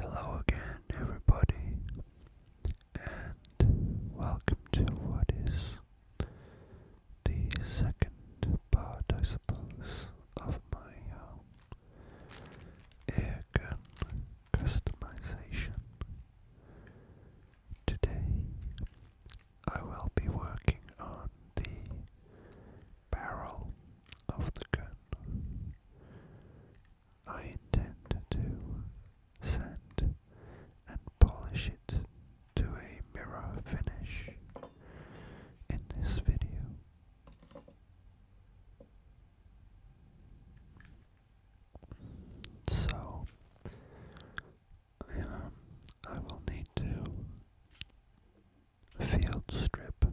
Hello again, everybody, and welcome to what is the second part, I suppose, of my uh, um, gun customization. Today I will be working on the barrel of the gun. I intend to sand and polish it to a mirror finish in this video. So I will need to field strip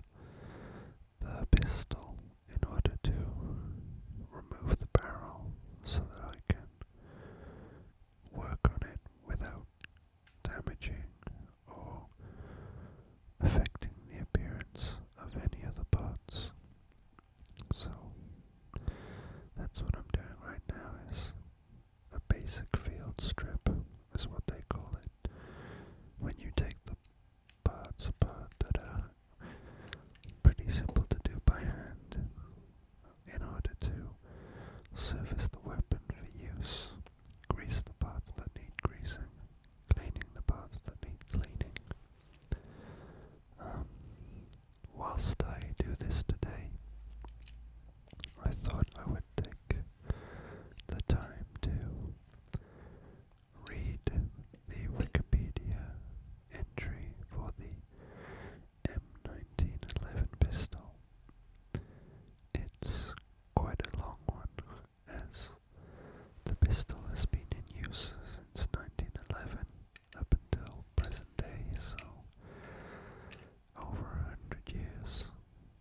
the pistol in order to remove the barrel so that I can work on it without damaging or affecting the appearance of any other parts. So that's what I'm doing right now is a basic field strip is what they call it. When you take the parts apart that are pretty simple to do by hand in order to service the weapon for use, grease the parts that need greasing, cleaning the parts that need cleaning. Um, whilst I do this today, I thought I would take the time to read the Wikipedia entry for the M1911 pistol. It's quite a long one, as the pistol has been in use since 1911 up until present day, so over a hundred years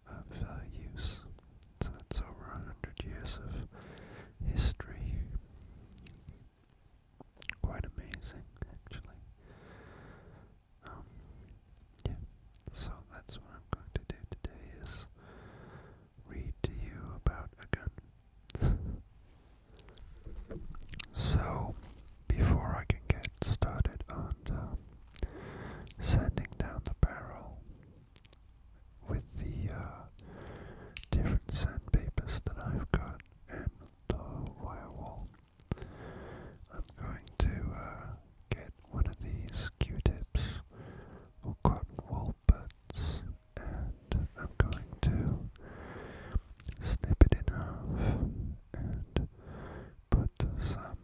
of uh, use. So that's over a hundred years of history. Quite amazing, actually. Um, yeah. So that's what I'm going to do today is read to you about a gun. so before I can get started on uh, um, sanding down the barrel with the uh, different sandpapers that I've got and the wire wall, I'm going to uh, get one of these Q-tips or cotton wool buds and I'm going to snip it in half and put some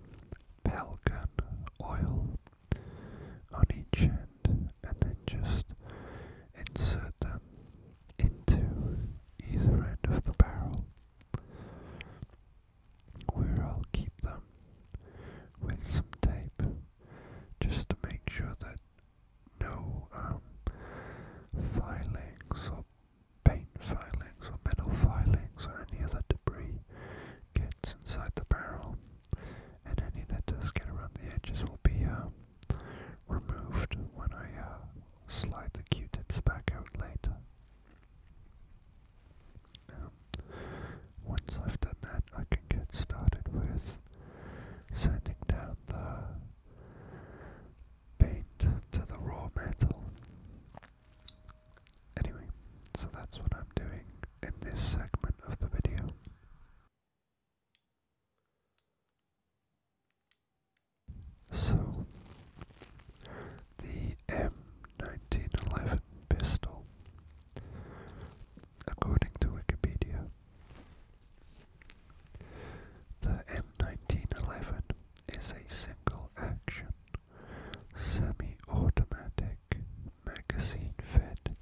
pelican oil on each end and then just insert them into either end of the barrel, where I'll keep them with some tape just to make sure that no um, filings or paint filings or metal filings or any other debris gets inside the barrel, and any that does get around the edges will be uh, removed when I uh, slide the Q-tips back out later. once I've done that, I can get started with sanding down the paint to the raw metal. Anyway, so that's what I'm doing in this segment of the video. So, the M1911 pistol, according to Wikipedia, the M1911 is a single action, semi automatic, magazine fed,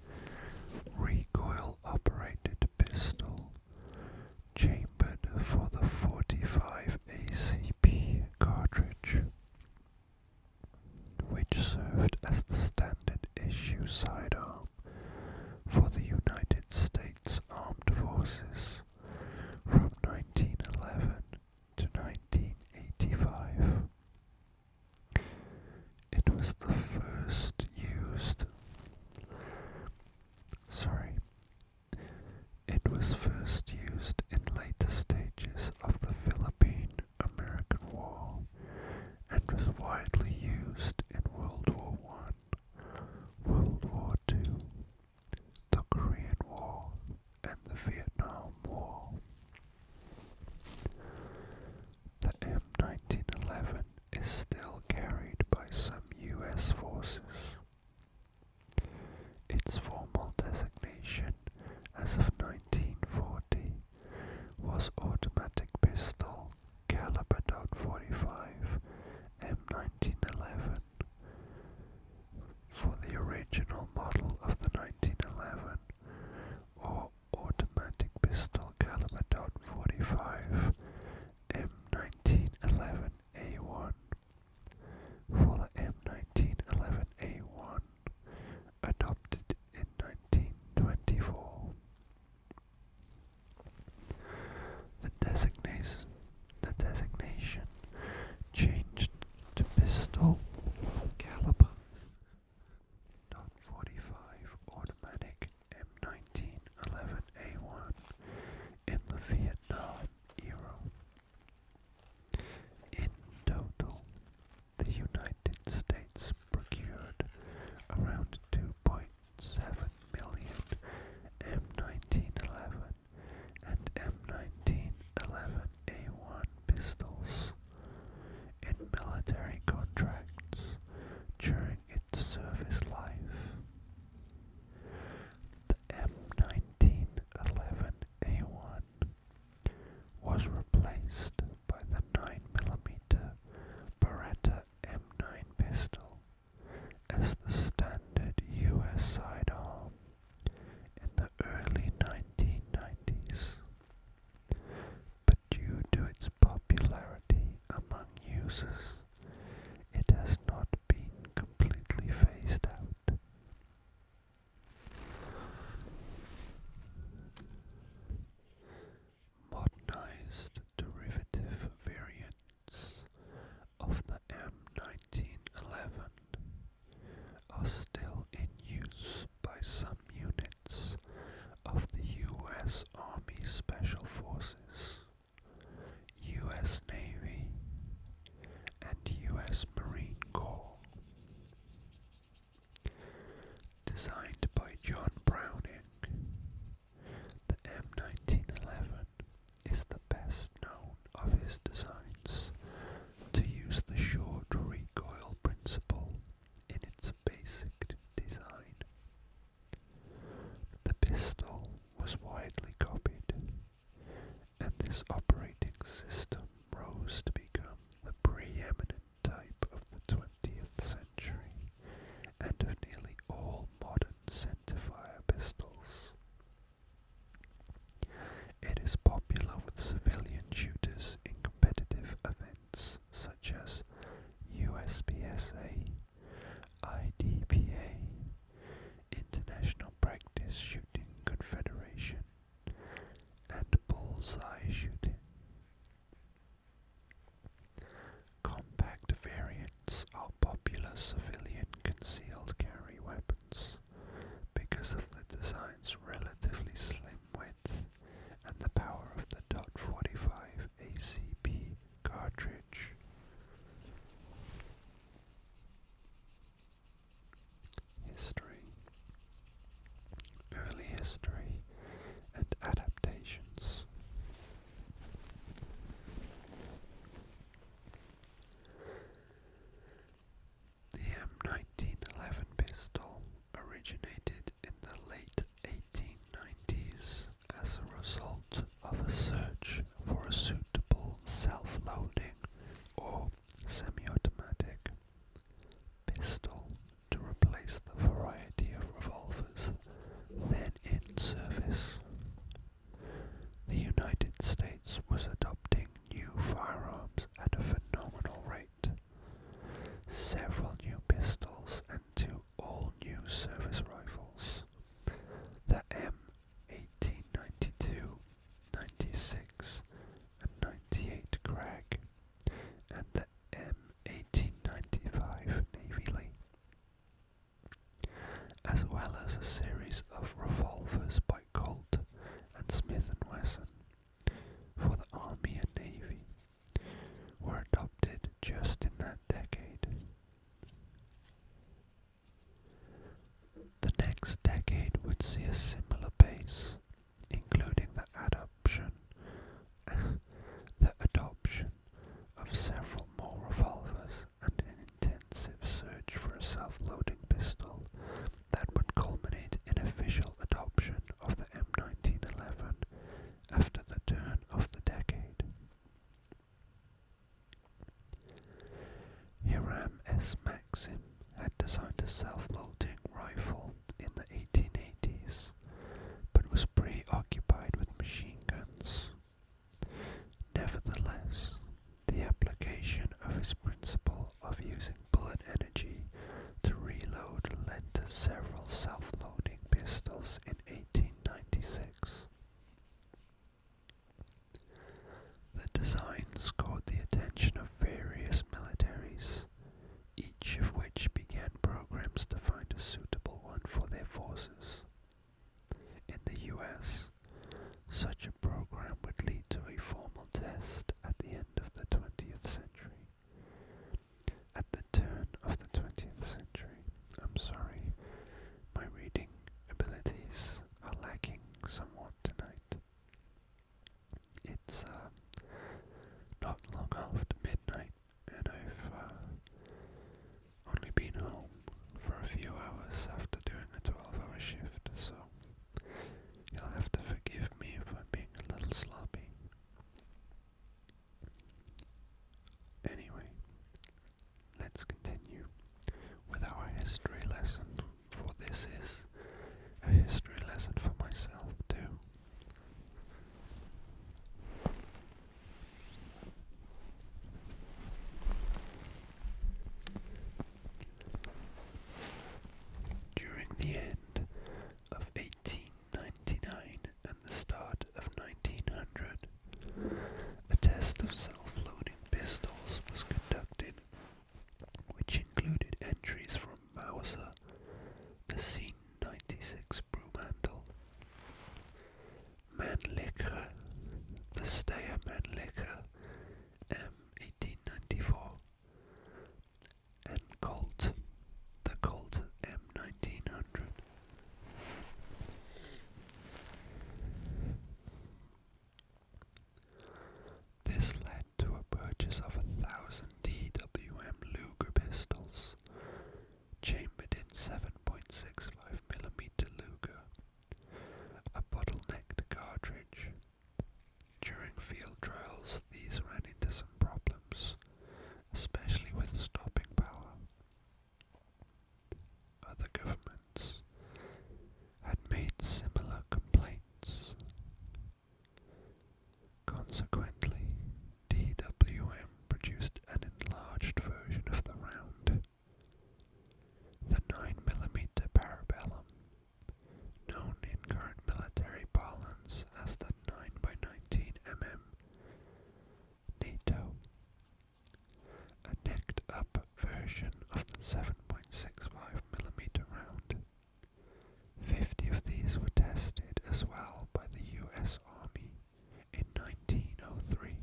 recoil operated pistol, chambered for the 45 ACP cartridge, which served as the standard issue sidearm for the United States Armed Forces from 1911 to 1985. It was the first used. Sorry. It was first used in later stages of the Philippine American War and was widely used in World War I, World War II, the Korean War, and the Vietnam War. The M1911 is still carried by some US forces. Its formal designation as of 1940 was automatic pistol caliber .45 M1911 for the original model of the 1911 or automatic pistol caliber .45 M1911A1. For the M1911A1, adopted in 1924. The designation the designation changed to pistol caliber .45 automatic M1911A1 in the Vietnam era. In total, the United States procured around 2.7 million M1911 and M1911A1 pistols in military contracts during its service life. The M1911A1 was replaced by the 9mm Beretta M9 pistol as the standard US sidearm in the early 1990s, but due to its popularity among users, it has not been completely phased out. Modernized derivative variants of the M1911 are still in use by some units of the U.S. Army Special Forces, U.S. Navy, and U.S. Marine Corps. Designed by John Browning, the M1911 is the best known of his designs to use the short recoil principle in its basic design. The pistol was widely copied, and this operating system rose to become the preeminent type of the 20th century and of nearly all modern centerfire pistols. It is popular with civilian shooters in competitive events such as USPSA, IDPA, International Practice Shooting Confederation, and bullseye shooting. Compact variants are popular civilian concealed carry weapons because of the design's relatively slim width and the power of the .45 ACP cartridge. History Early History and Adaptations the M1911 pistol originated in the late 1890s as a result of a search for a suitable self-loading or semi-automatic pistol to replace the variety of revolvers then in service. The United States was adopting new firearms at a phenomenal rate. Several new pistols and two all new service rifles. The M1892, 96, and 98 Krag, and the M1895 Navy Lee. As well as a series of revolvers by Colt and Smith & Wesson for the Army and Navy were adopted just in that decade. The next decade would see a similar pace, including the adoption the adoption of several more revolvers and an intensive search for a self-loading pistol that would culminate in official adoption of the M1911 after the turn of the decade. Hiram S. Maxim had designed a self-loading rifle in the 1880s, but was preoccupied with machine guns. Nevertheless, the application of his principle of using bullet energy to reload led to several self-loading pistols in 1896. The design scored the attention of various militaries, each of which began programs to find a suitable one for their forces. In the US, such a program would lead to a formal test at the end of the 20th century. At the turn of the 20th century, I'm sorry, my reading abilities are lacking somewhat tonight. It's uh, not long after midnight, and I've uh, only been home for a few hours after doing a 12 hour shift, so You'll have to forgive me for being a little sloppy. Anyway, let's continue with our history lesson, for this is a history lesson for myself too. During the end of 1899 and the start of 1900, a test of self-loading pistols was conducted, which included entries from Mauser, the C-96 Brumantle, Mannlicher, the Steyr Mannlicher, M1894, and Colt, the Colt M1900. This led to a purchase of a thousand DWM Luger pistols, chambered in 765 millimeter Luger, a bottlenecked cartridge. During field trials, these ran into some problems, especially with stopping power. Other governments had made similar complaints. Consequently, DWM produced an enlarged version of the round the 9mm parabellum, known in current military parlance as the 9x19mm NATO, a necked up version of the 7.65mm round. Fifty of these were tested as well by the US Army in 1903.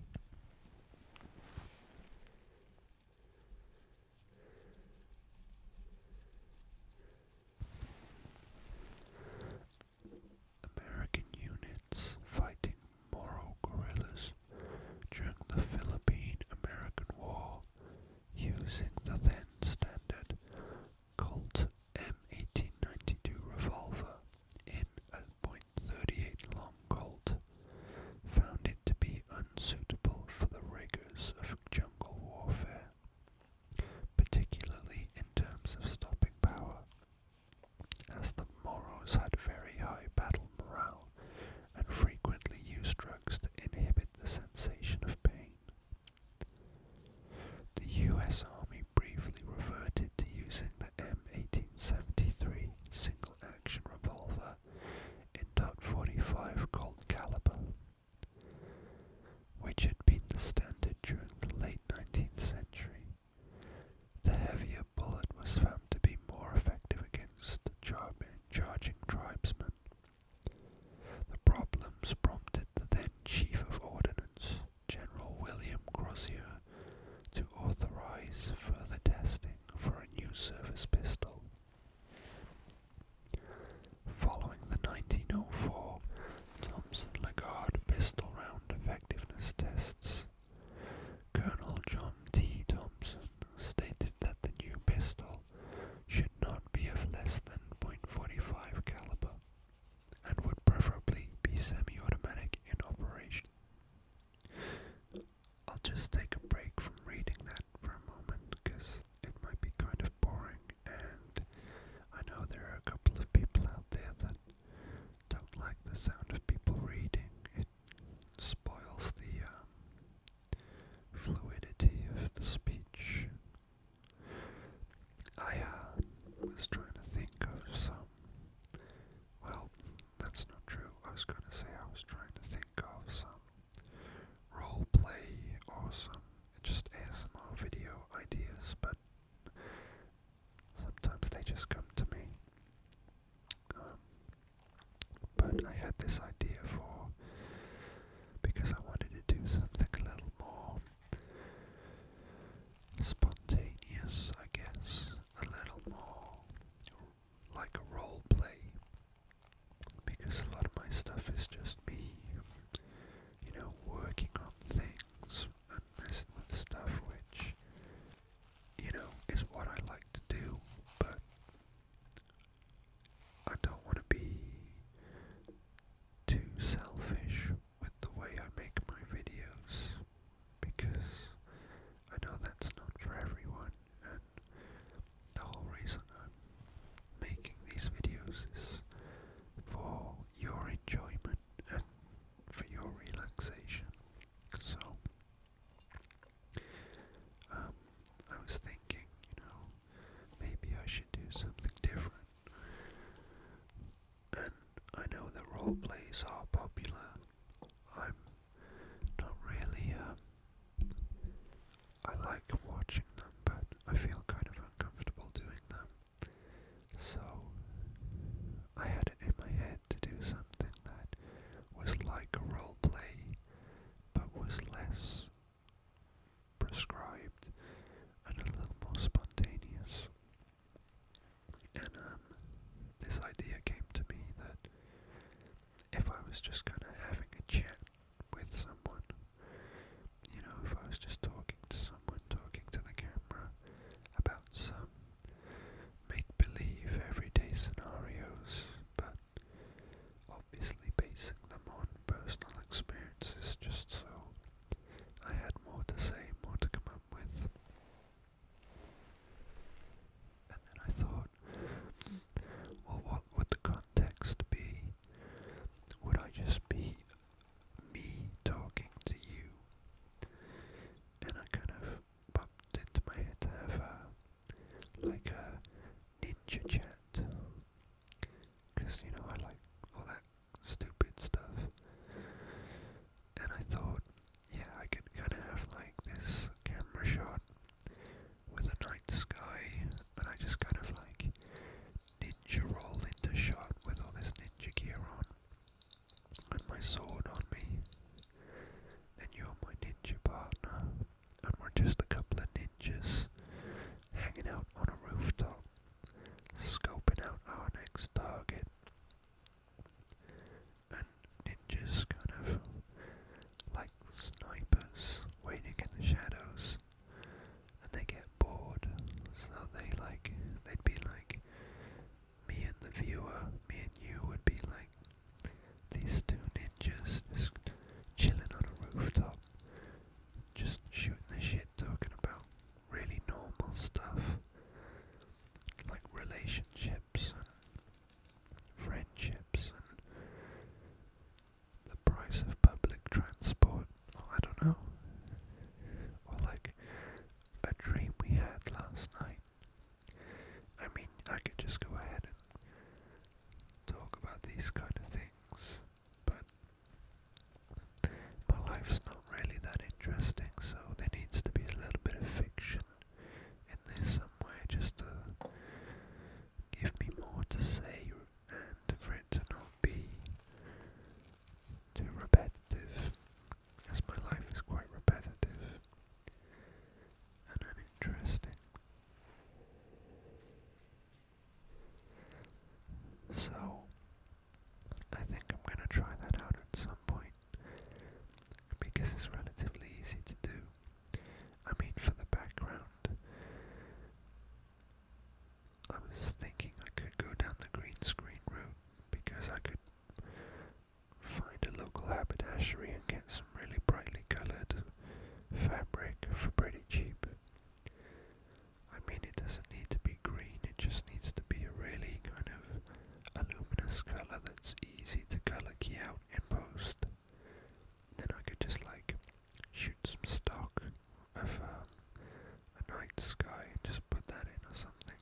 American units fighting Moro guerrillas during the Philippine-American War using the then standard Colt M1892 revolver in a point thirty eight long colt, found it to be unsuitable for the rigors of jungle warfare, particularly in terms of stopping power, as the Moros had very high battle morale and frequently used drugs to inhibit the sensation of pain. The U.S. Army briefly reverted to using the M1873 single action revolver caliber in .45 Colt caliber, which had been the standard during the late 19th century. The heavier bullet was found to be more effective against charging tribesmen. The problems prompted the then Chief of Ordnance, General William Crozier, to authorize further testing for a new service pistol. Following the 1904 Thomson-Lagarde pistol round effectiveness tests, Colonel John T. Thomson stated that the new pistol should not be of less than .45 caliber and would preferably be semi-automatic in operation. I'll just take a break from reading that for a moment because it might be kind of boring, and I know there are a couple of people out there that don't like the sound of people reading. It spoils the um, fluidity of the speech. I uh, was trying to think of some. Well, that's not true. I was going to say I was trying to think think of some role play or some just ASMR video ideas, but sometimes they just come to me. Um, but I had this idea for because I wanted to do something a little more spontaneous, I guess, a little more like a role play because a lot of my stuff is just me, you know, working on things and messing with stuff, which, you know, is what I like to do, but I don't want to be too selfish with the way I make my videos because I know that's not for everyone the whole reason I'm making these videos is for your enjoyment and for your relaxation. So um, I was thinking, you know, maybe I should do something different. And I know that role plays are popular. I'm not really um, I like watching them, but I feel kind of uncomfortable doing them. So I had it in my head to do something that was like a role play, but was less prescribed and a little more spontaneous. And um, this idea came to me that if I was just kind of having a chat with someone, you know, if I was just talking to someone, talking to the camera about some make believe everyday scenarios, but obviously basing them on personal experiences just so I had more to say, more to come up with. And then I thought, well, what would the context be? Would I just be me talking to you? And I kind of popped into my head to have a, like a ninja chat. Because, you know, I like all that stupid stuff. And I thought, yeah, I could kind of have like this camera shot with a night sky, and I just kind of like ninja roll into shot with all this ninja gear on, and my sword on me, and you're my ninja partner, and we're just a couple of ninjas hanging out on a rooftop, scoping out our next target ninjas kind of like snipers waiting in the shadows and they get bored so they like they'd be like me and the viewer, me and you would be like these two ninjas just chilling on a rooftop, just shooting the shit, talking about really normal stuff like relationship friendships and the price of public transport. I don't know. Or like a dream we had last night. I mean, I could just go ahead and talk about these kind of things, but my life's not really that interesting, so there needs to be a little bit of fiction in this some just to give me more to say and for it to not be repetitive, as my life is quite repetitive and uninteresting. So, I think I'm going to try that out at some point because it's relatively easy to do. I mean, for the background, I was thinking I could go down the green screen route because I could find a local haberdashery and get some really brightly colored fabric for pretty cheap. I mean, it doesn't need to be green, it just needs to be a really kind of luminous color that's easy to color key out in post then I could just like shoot some stock of um, a night sky and just put that in or something.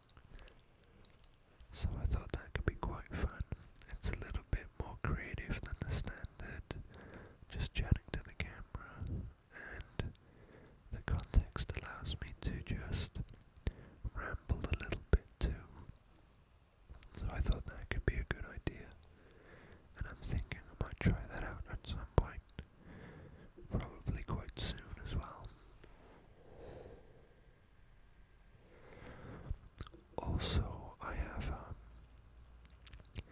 So I thought that could be quite fun. It's a little bit more creative than the standard, just chatting to the camera, and the context allows me to just ramble a little bit too. So I thought that could be a good idea. And I'm thinking I might try that out at some point. Probably quite soon as well. Also, I have um,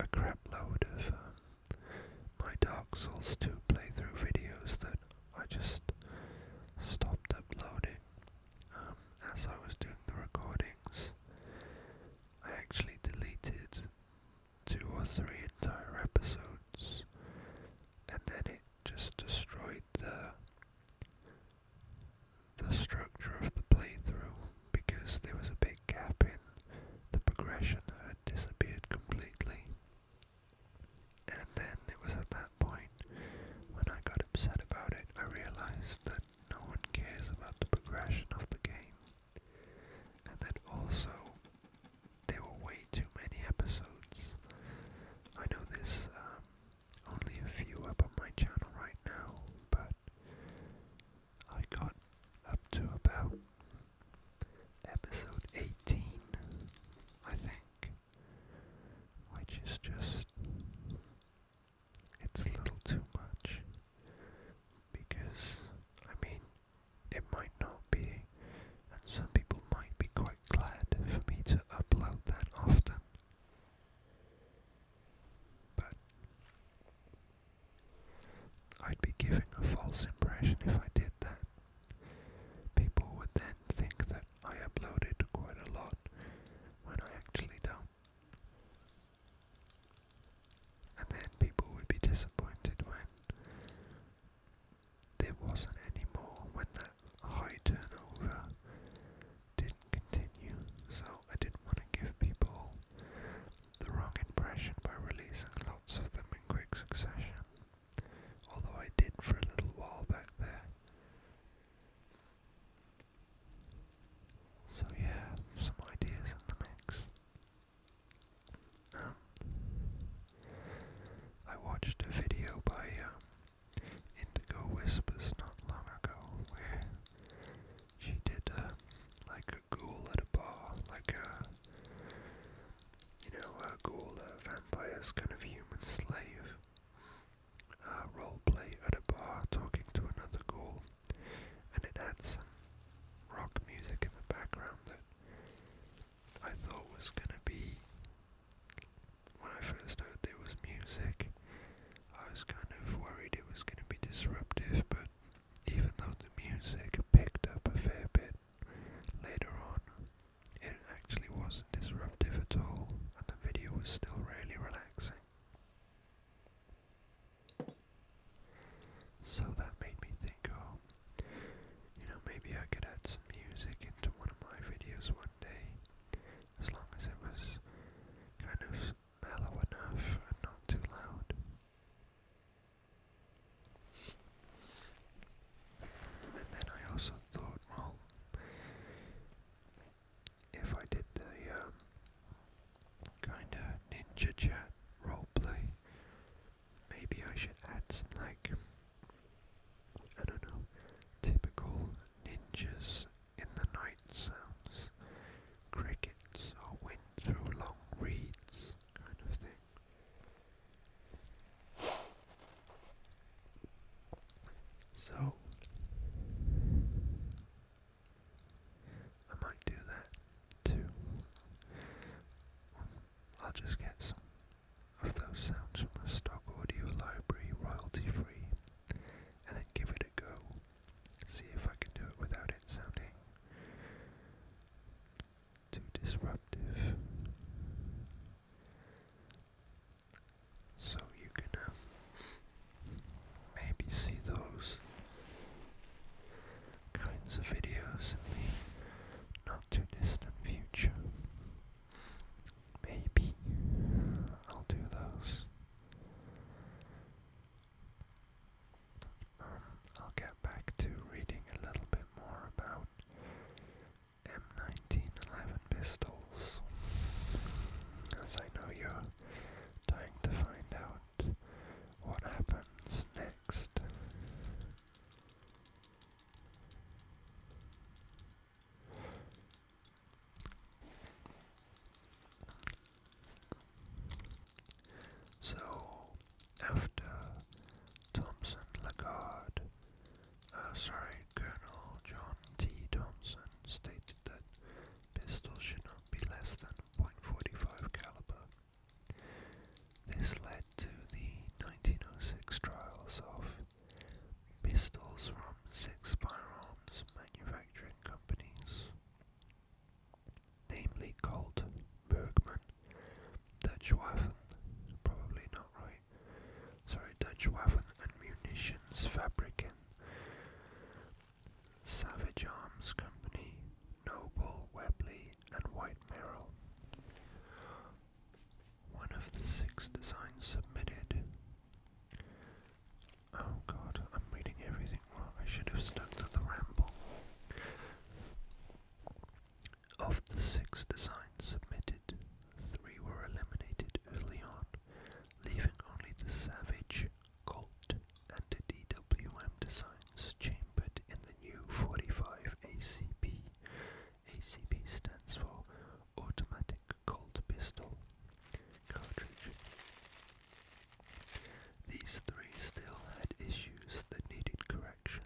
a crap load of um, my Dark Souls 2 playthrough videos that I just stopped uploading um, as I was doing the recording I actually deleted two or three entire episodes, and then it just destroyed the the structure of the playthrough because there was a big gap in the progression that had disappeared completely. And then it was at that point when I got upset about it, I realized that no one cares about the progression of the game. And then also, there were way too many episodes. I know there's um, only a few up on my channel right now, but I got up to about episode 18, I think, which is just it's a little too much because I mean it might not be and some people might be quite glad for me to upload that often. But I'd be giving a false impression if I did that. People would then think that I uploaded quite a lot when I actually don't. And then people would be disappointed when there wasn't any more, when that high turnover didn't continue. So I didn't want to give people the wrong impression by releasing lots of them in quick succession. Although I did for a little while back there. So yeah, some ideas in the mix. Um, I watched a video by um, Indigo Whispers not long ago where she did uh, like a ghoul at a bar, like a you know a ghoul, a vampire's kind of human slave, uh, role play at a bar talking to another girl, and it had some rock music in the background that I thought was gonna be. When I first heard there was music, I was kind of worried it was gonna be disruptive, but even though the music picked up a fair bit later on, it actually wasn't disruptive at all, and the video was still really relaxing. So that made me think, oh, you know, maybe I could add some music into one of my videos one day, as long as it was kind of mellow enough and not too loud. And then I also thought, well, if I did the um, kind of ninja chat roleplay, maybe I should add some like, I don't know, typical ninjas in the night sounds, crickets or wind through long reeds kind of thing. So, I might do that too. I'll just get some of those sounds from the stock audio library royalty free and then give it a go. See if I can do it without it sounding too disruptive so you can uh, maybe see those kinds of videos in the not too distant future. Maybe I'll do those. Um, I'll get back to reading a little bit more about M1911 pistols, as I know you're trying to find out what happens next. So, after Thompson Lagarde, uh, sorry, Colonel John T. Thompson stated that Pistols should not be less than .45 caliber. This led to the 1906 trials of pistols from six firearms manufacturing companies, namely Colt, Bergman, Dutch Waffen, probably not right, sorry, Dutch and Munitions Fabriken, Savage Arms Company, Noble, Webley, and White Merrill. One of the six designs submitted. Oh god, I'm reading everything wrong. I should have stuck to the ramble. Of the six designs submitted, three were eliminated early on, leaving only the Savage Colt and DWM designs chambered in the new 45 ACP. ACP stands for Automatic Colt Pistol Cartridge. These three still had issues that needed correction,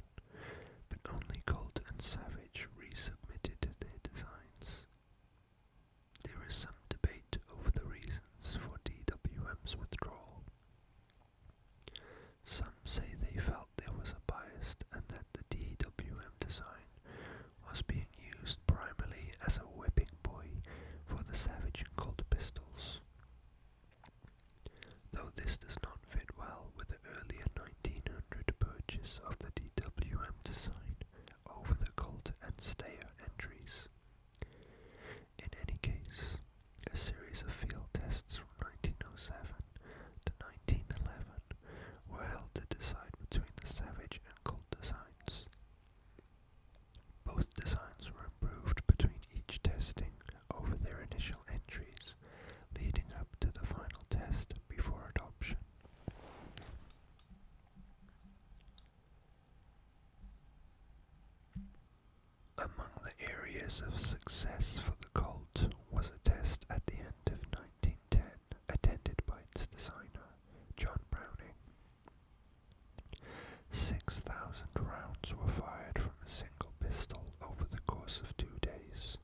but only Colt and Savage resubmitted their designs. There is some debate over the reasons for DWM's withdrawal. Some say they felt there was a bias and that the DWM design was being used primarily as a whipping boy for the Savage Colt pistols. Though this does not fit well with the earlier 1900 purchase of the DWM design, over the Colt and Steyer entries. In any case, a series of field tests from 1907 to 1911 were held to decide between the Savage and Colt designs. Both designs were improved between each testing over their initial entries, leading up to the final test before adoption. Among the areas of success for the Colt was a test at the end of 1910 attended by its designer, John Browning. 6,000 rounds were fired from a single pistol over the course of two days.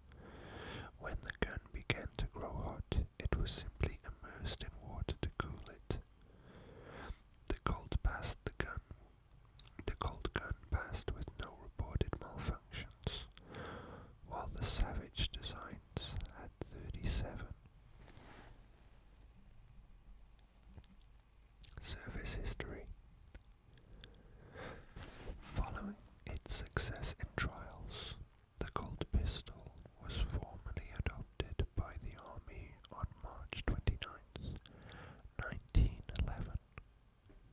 When the gun began to grow hot, it was simply immersed in water to cool it, the Colt passed the gun. The Colt gun passed with no reported malfunctions, while the Savage Designs had 37. Service history. Following its success in trials, the Colt pistol was formally adopted by the Army on March 29, 1911,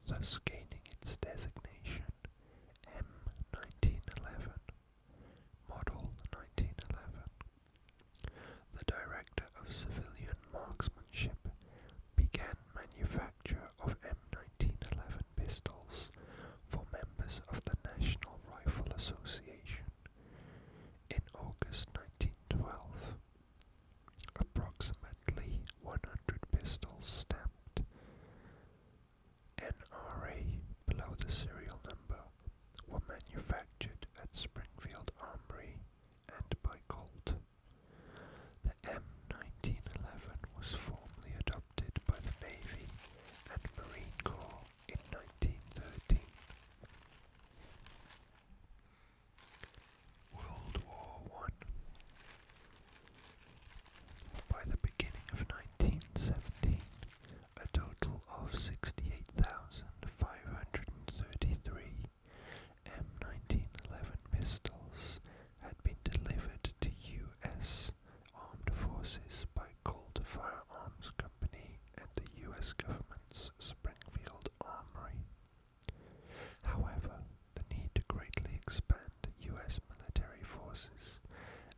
thus gaining its designation M1911, Model 1911. The Director of Civilian Marksmanship began manufacture of M1911 pistols for members of the National Rifle Association in August 1912, approximately 100 pistols stamped NRA below the serial number were manufactured at Springfield Armory and by Colt. The M1911 was formally adopted by the Navy and Marine Corps in 1913. World War I. By the beginning of 1917, a total of 68,533 M1911 pistols had been delivered to U.S. Armed Forces by Colt Firearms Company. Company and the US government's Springfield Armory. However, the need to greatly expand US military forces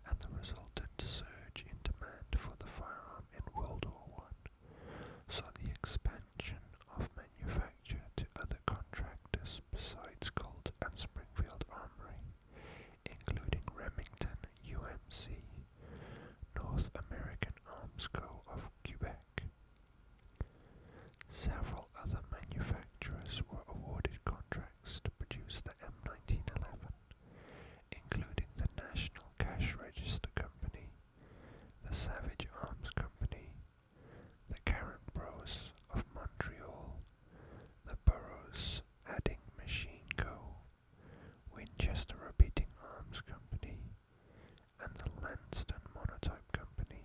and the resultant surge in demand for the firearm in World War I saw the expansion of manufacture to other contractors besides Colt and Springfield Armory, including Remington UMC North American Arms Co. of Quebec. Several other manufacturers were awarded contracts to produce the M1911, including the National Cash Register Company, the Savage Arms Company, the Karen Bros of Montreal, the Burroughs Adding Machine Co. Winchester Repeating Arms Company, and the Lanston Monotype Company.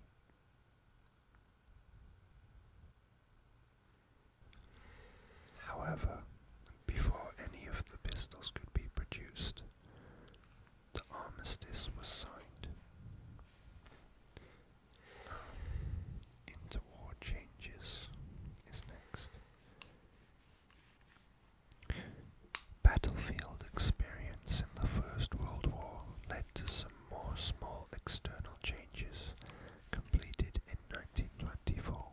However, before any of the pistols could be produced, the armistice was signed. Um, interwar changes is next. Battlefield experience in the First World War led to some more small external changes completed in 1924.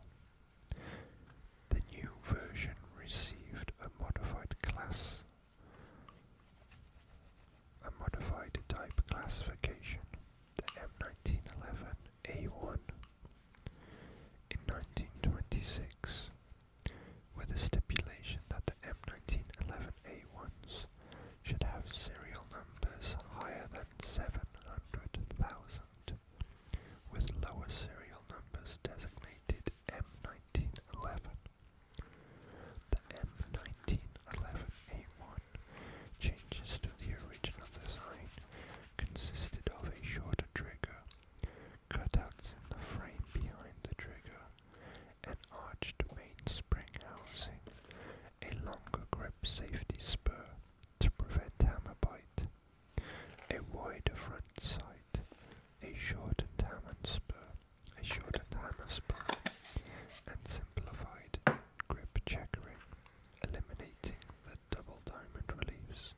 The new version received a modified class, a modified type classification, the M1911A1 in 1926 with a stipulation that the M1911A1s should have serial numbers higher than 700,000, with lower serial numbers designated M1911. The M1911A1 changes to the original design consisted of a shorter trigger, cutouts in the frame behind the trigger, an arched mainspring housing, a longer grip safety spur to prevent hammer bite, a wider front sight, a shortened hammer spur, a shortened hammer spur, and simplified grip checkering, eliminating the double diamond reliefs.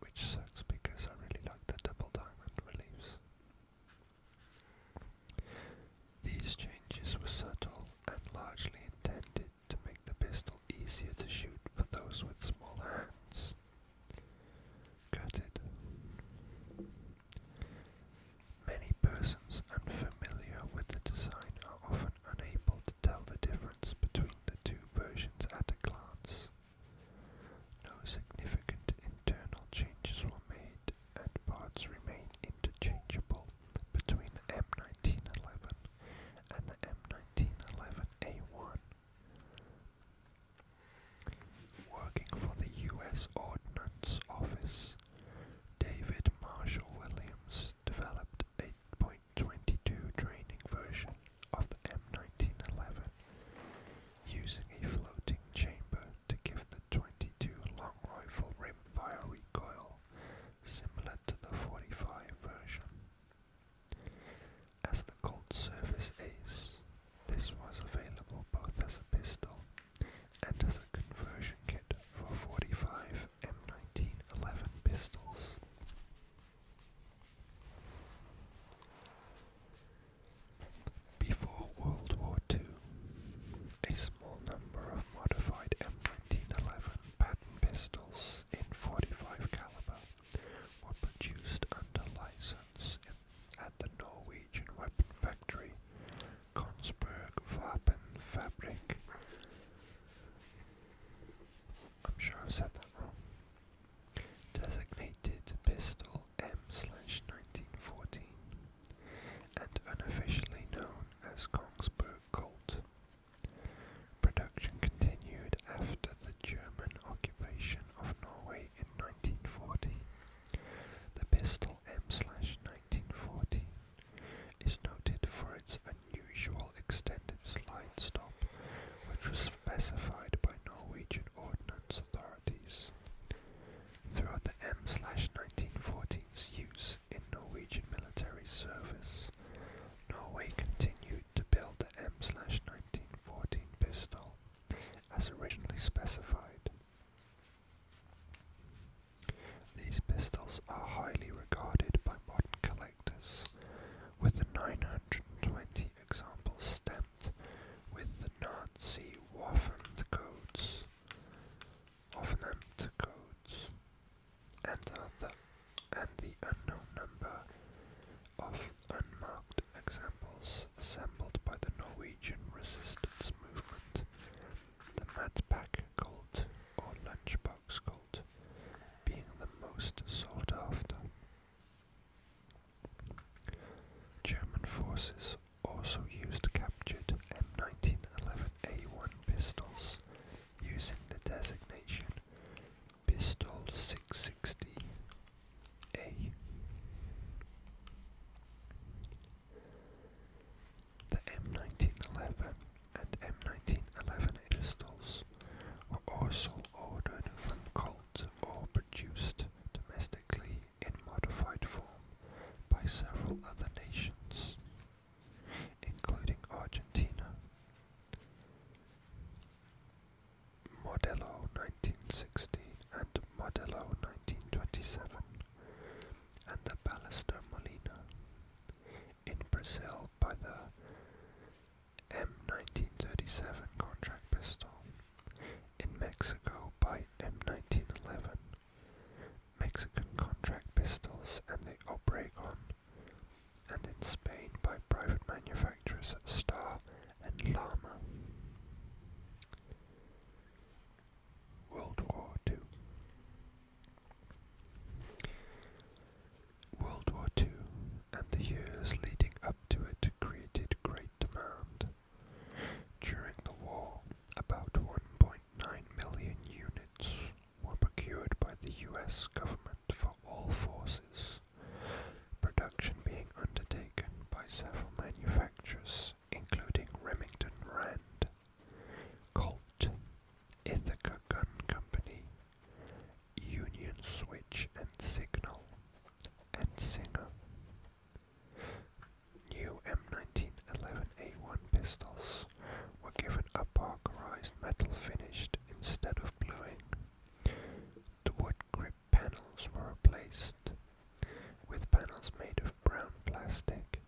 Which sucks because I really like the double diamond reliefs. These changes were subtle and largely intended to make the pistol easier to shoot for those with smaller hands. Gutted. Many persons unfamiliar with the design are often unable tell the difference between the two versions at a glance. No significant internal changes were made, and parts remain interchangeable between the M1911 and the M1911A1. Working for the U.S. Ordnance Office, David Marshall Williams developed 8.2 22 training version of the M1911 using a floating chamber to give the 22 long rifle rimfire recoil similar to the 45 version. As the Colt Service Ace, this was available both as a pistol and as a conversion kit for 45 m M1911 pistols. Before World War II, a small number of modified M1911 pattern pistols in 45 caliber were produced under license at the Norwegian weapon factory Konsberg Vapenfabrik. I'm sure I've said that wrong. Designated pistol M/1914, and unofficially known as Kongsberg Colt. Production continued after the German occupation of Norway in 1940. The pistol M/1914 is noted for its unusual extended slide stop, which was specified by Norwegian ordnance authorities. Throughout the M/1914's use in Norwegian military service, Norway continued to build the M/1914 pistol as originally specified. These pistols are highly regarded by modern collectors with the 920 examples stamped with the Nazi Waffen codes, Waffenamt codes, and the, and the unknown number of unmarked examples assembled by the Norwegian resistance movement, the Matpack cult or lunchbox being the most sought after. German forces also used captured M1911A1 pistols using the designation Pistol 660A. The M1911 and M1911 pistols were also ordered from Colt or produced domestically in modified form by several other nations, including Argentina. Modelo 1916 and Modelo 1927 and the Ballester Molina in Brazil by the M1937 contract pistol. In Mexico by M1911. Mexican contract pistols and the Obregon. And in Spain by private manufacturers Star and Lama. World War II. World War II and the years leading up to it created great demand. During the war, about 1.9 million units were procured by the US government for all forces, production being undertaken by several manufacturers including Remington Rand, Colt, Ithaca Gun Company, Union Switch and Signal, and Singer. New M1911A1 pistols were given a parkerized metal finish instead of bluing. The wood grip panels were replaced with panels made of brown plastic.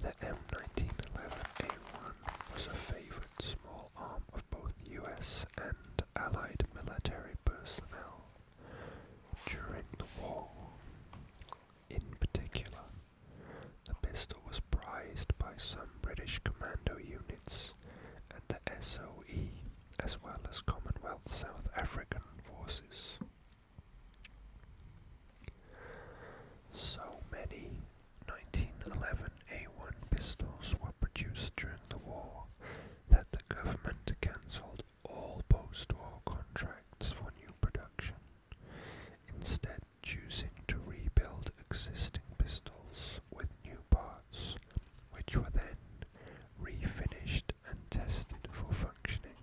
The M1911A1 was a favorite small arm of both US and Allied military personnel during the war. In particular, the pistol was prized by some British commando units and the SOE, as well as Commonwealth South African forces. So many 1911 A1 pistols were produced during the war that the government cancelled all post-war contracts for new production, instead choosing to rebuild existing pistols with new parts, which were then refinished and tested for functioning.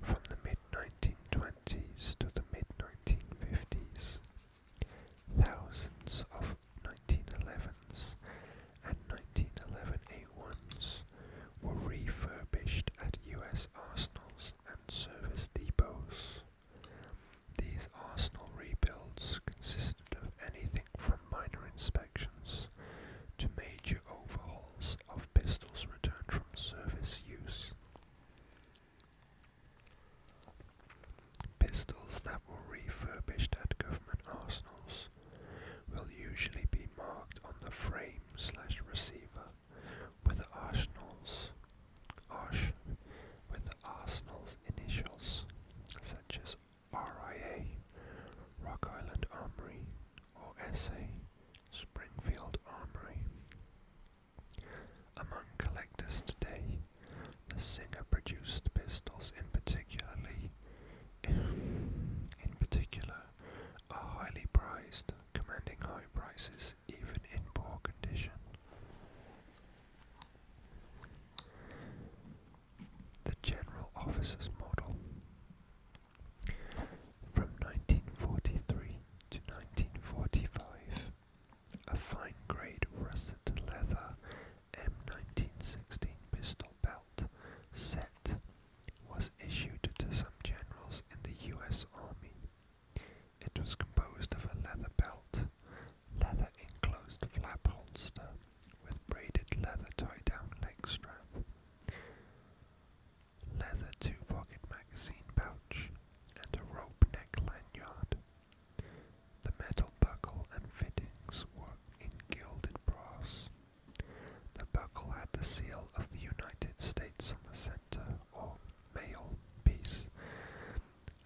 From the 1920s to the mid-1950s. Thousands of 1911s and 1911A1s were refurbished at US arsenals and service depots. These arsenal rebuilds consisted of anything from minor inspections to major overhauls of pistols returned from service use. Pistols that were refurbished at government arsenals will usually be marked on the frame slash receiver with the arsenals with the arsenal's initials, such as RIA, Rock Island Armory, or SA, Springfield Armory. Among collectors today, the Singer-produced pistols in particularly in particular are highly prized, commanding high prices even in poor condition. The General Officer's Model From 1943 to 1945, a fine grade russet leather M1916 pistol belt set was issued to some generals in the US Army. It was composed of a leather belt, leather enclosed flap holster with braided leather tie down leg strap leather two-pocket magazine pouch, and a rope neck lanyard. The metal buckle and fittings were in gilded brass. The buckle had the seal of the United States on the center, or male piece,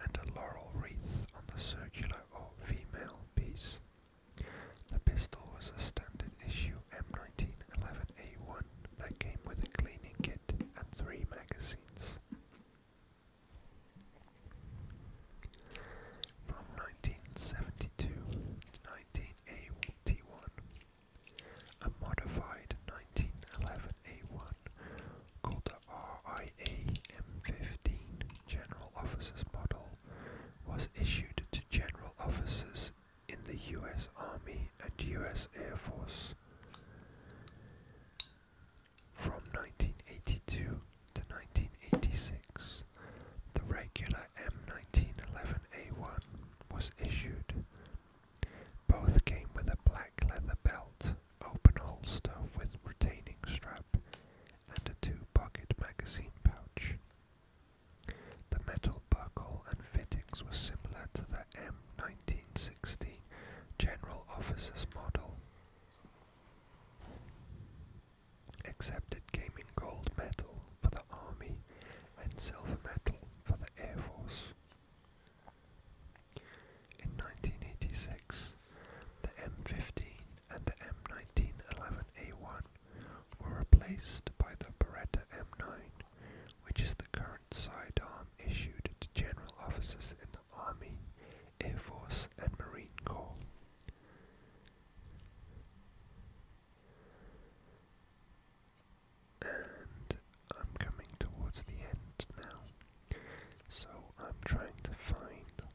and a laurel wreath on the circular or female piece. The pistol was a standard issue M1911A1 that came with a cleaning kit and three magazines. From 1972 to 1981, a modified 1911 A1 called the RIA M15 General Officers Model was issued to general officers in the US Army and US Air Force. From 1982 to 1986, the regular M1911A1 was issued. Both came with a black leather belt, open holster with retaining strap, and a two-pocket magazine pouch. The metal buckle and fittings were similar to that. M1916 General Officers Model. Accepted it came in gold medal for the Army and silver medal for the Air Force. In 1986, the M15 and the M1911A1 were replaced by the Beretta M9, which is the current Lord Saidam issued to general officers in the Army, Air Force, and Marine Corps. And I'm coming towards the end now, so I'm trying to find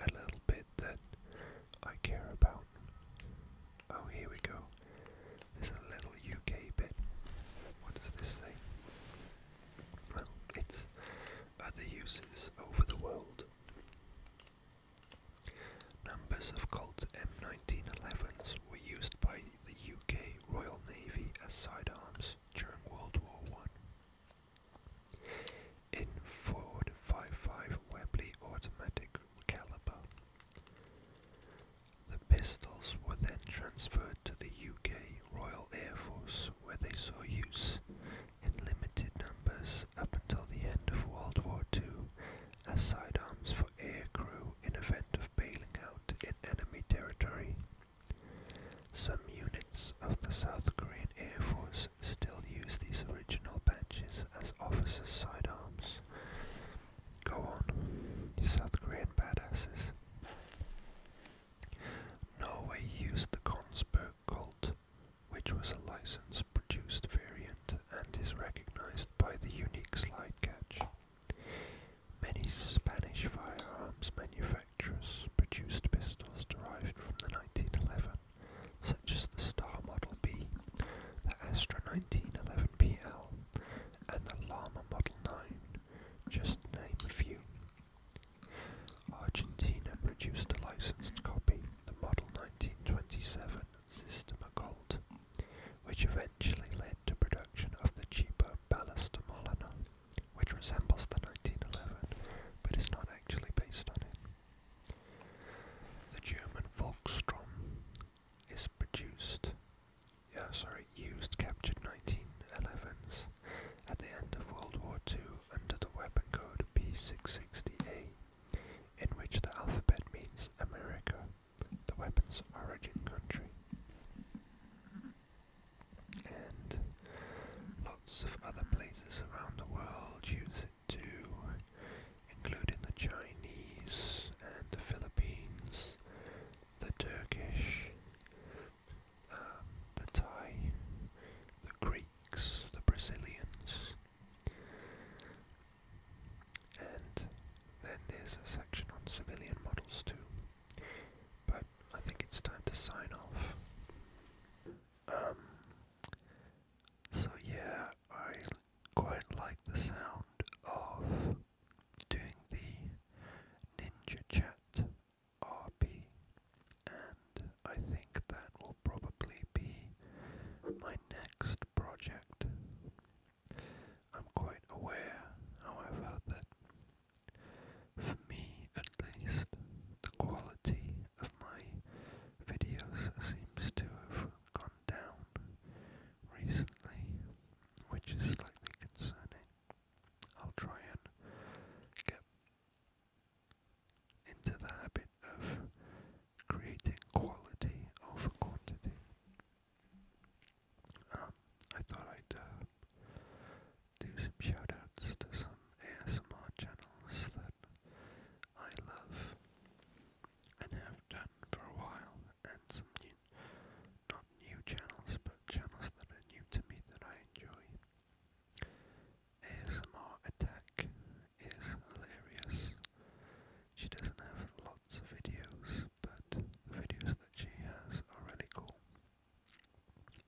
a little bit that I care about. Oh, here we go. There's a little UK bit. What does this say? Well, it's other uses over the world. Numbers of Colt M1911s were used by the UK Royal Navy as sidearms during World War One. In Ford 55 Webley automatic caliber, the pistols were then transferred to the UK Royal Air Force where they saw use in limited numbers up until the end of World War II as sidearms for aircrew in event of bailing out in enemy territory. Some units of the South Korean Air Force still use these original badges as officers' sidearms. Go on, you South Korean badasses. Norway used the Kongsberg cult, which was a licensed produced variant and is recognized by the unique slide catch. Many Spanish firearms manufacturers produced pistols derived from the 1911, such as the Star Model B, the Astra 1911 PL, and the Llama Model 9, just name a few. Argentina produced a licensed copy, the Model 1927 Systema Gold, which eventually led to production of the cheaper Ballast which resembles the 1911 but is not actually based on it. The German Volkstrom is produced yeah, sorry, used captured 1911s at the end of World War II under the weapon code P660A, in which the alphabet means America, the weapon's origin country. And lots of other places around the world use it too, including the Chinese and the Philippines the Turkish, uh, the Thai, the Greeks, the Brazilians. And then there's a section on civilian models too. But I think it's time to sign off. Um, so yeah, I quite like the sound of doing the Ninja Chat RP, and I think that will probably be my next project. I'm quite aware, however, that for me at least, the quality of my videos seems to have gone down recently, which is slightly concerning. I'll try and get into the habit of creating quality over quantity. Um, I thought I'd uh, do some shoutouts to some ASMR channels that I love and have done for a while, and some new, not new channels, but channels that are new to me that I enjoy. ASMR Attack is hilarious. She doesn't have lots of videos, but the videos that she has are really cool.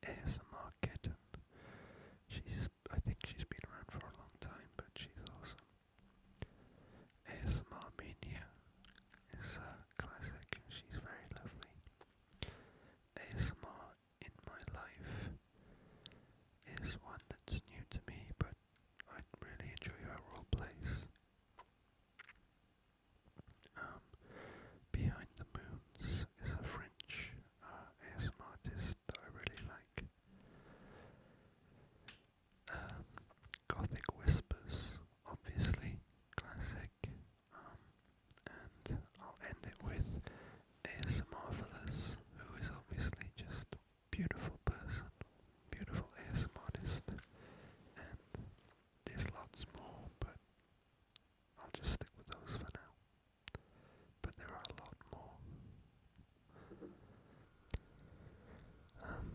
ASMR Kitten, she's I think she's been around for a long time, but she's awesome. ASMR Mania is a uh, classic, she's very lovely. ASMR in my life is one that's new to me, but I really enjoy her role plays. Um, Behind the Moons is a French uh, ASMR artist that I really like. Um, Gothic Whispers obviously classic. Um, and I'll end it with ASMR Marvelous, who is obviously just beautiful person, beautiful ASMR modest, and there's lots more, but I'll just stick with those for now. But there are a lot more. Um,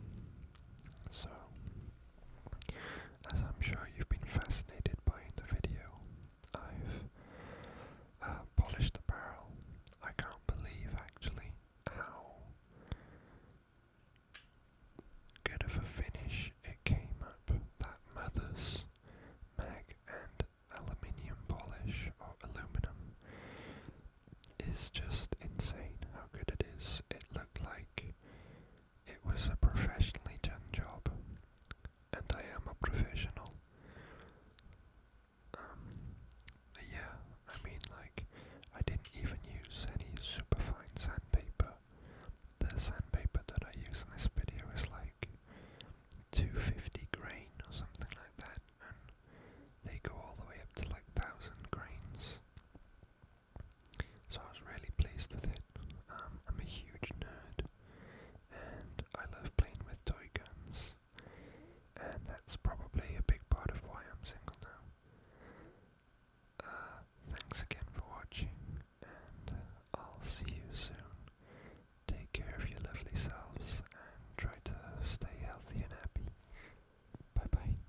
so, as I'm sure you've been fascinated by in the video, I've uh, polished the barrel. I can't believe actually how good of a finish it came up. That mother's mag and aluminium polish or aluminum is just insane how good it is. It looked like it was a professionally done job, and I am a professional. Um, yeah, I mean, like, I didn't even use any superfine sandpaper. The sandpaper that I use in this video is like 250 grain or something like that, and they go all the way up to like 1000 grains. So I was really pleased with it. Um, I'm a huge nerd and I love playing with toy guns, and that's probably a big part of why I'm single now. Uh, thanks again for watching, and uh, I'll see you soon. Take care of your lovely selves and try to stay healthy and happy. Bye bye.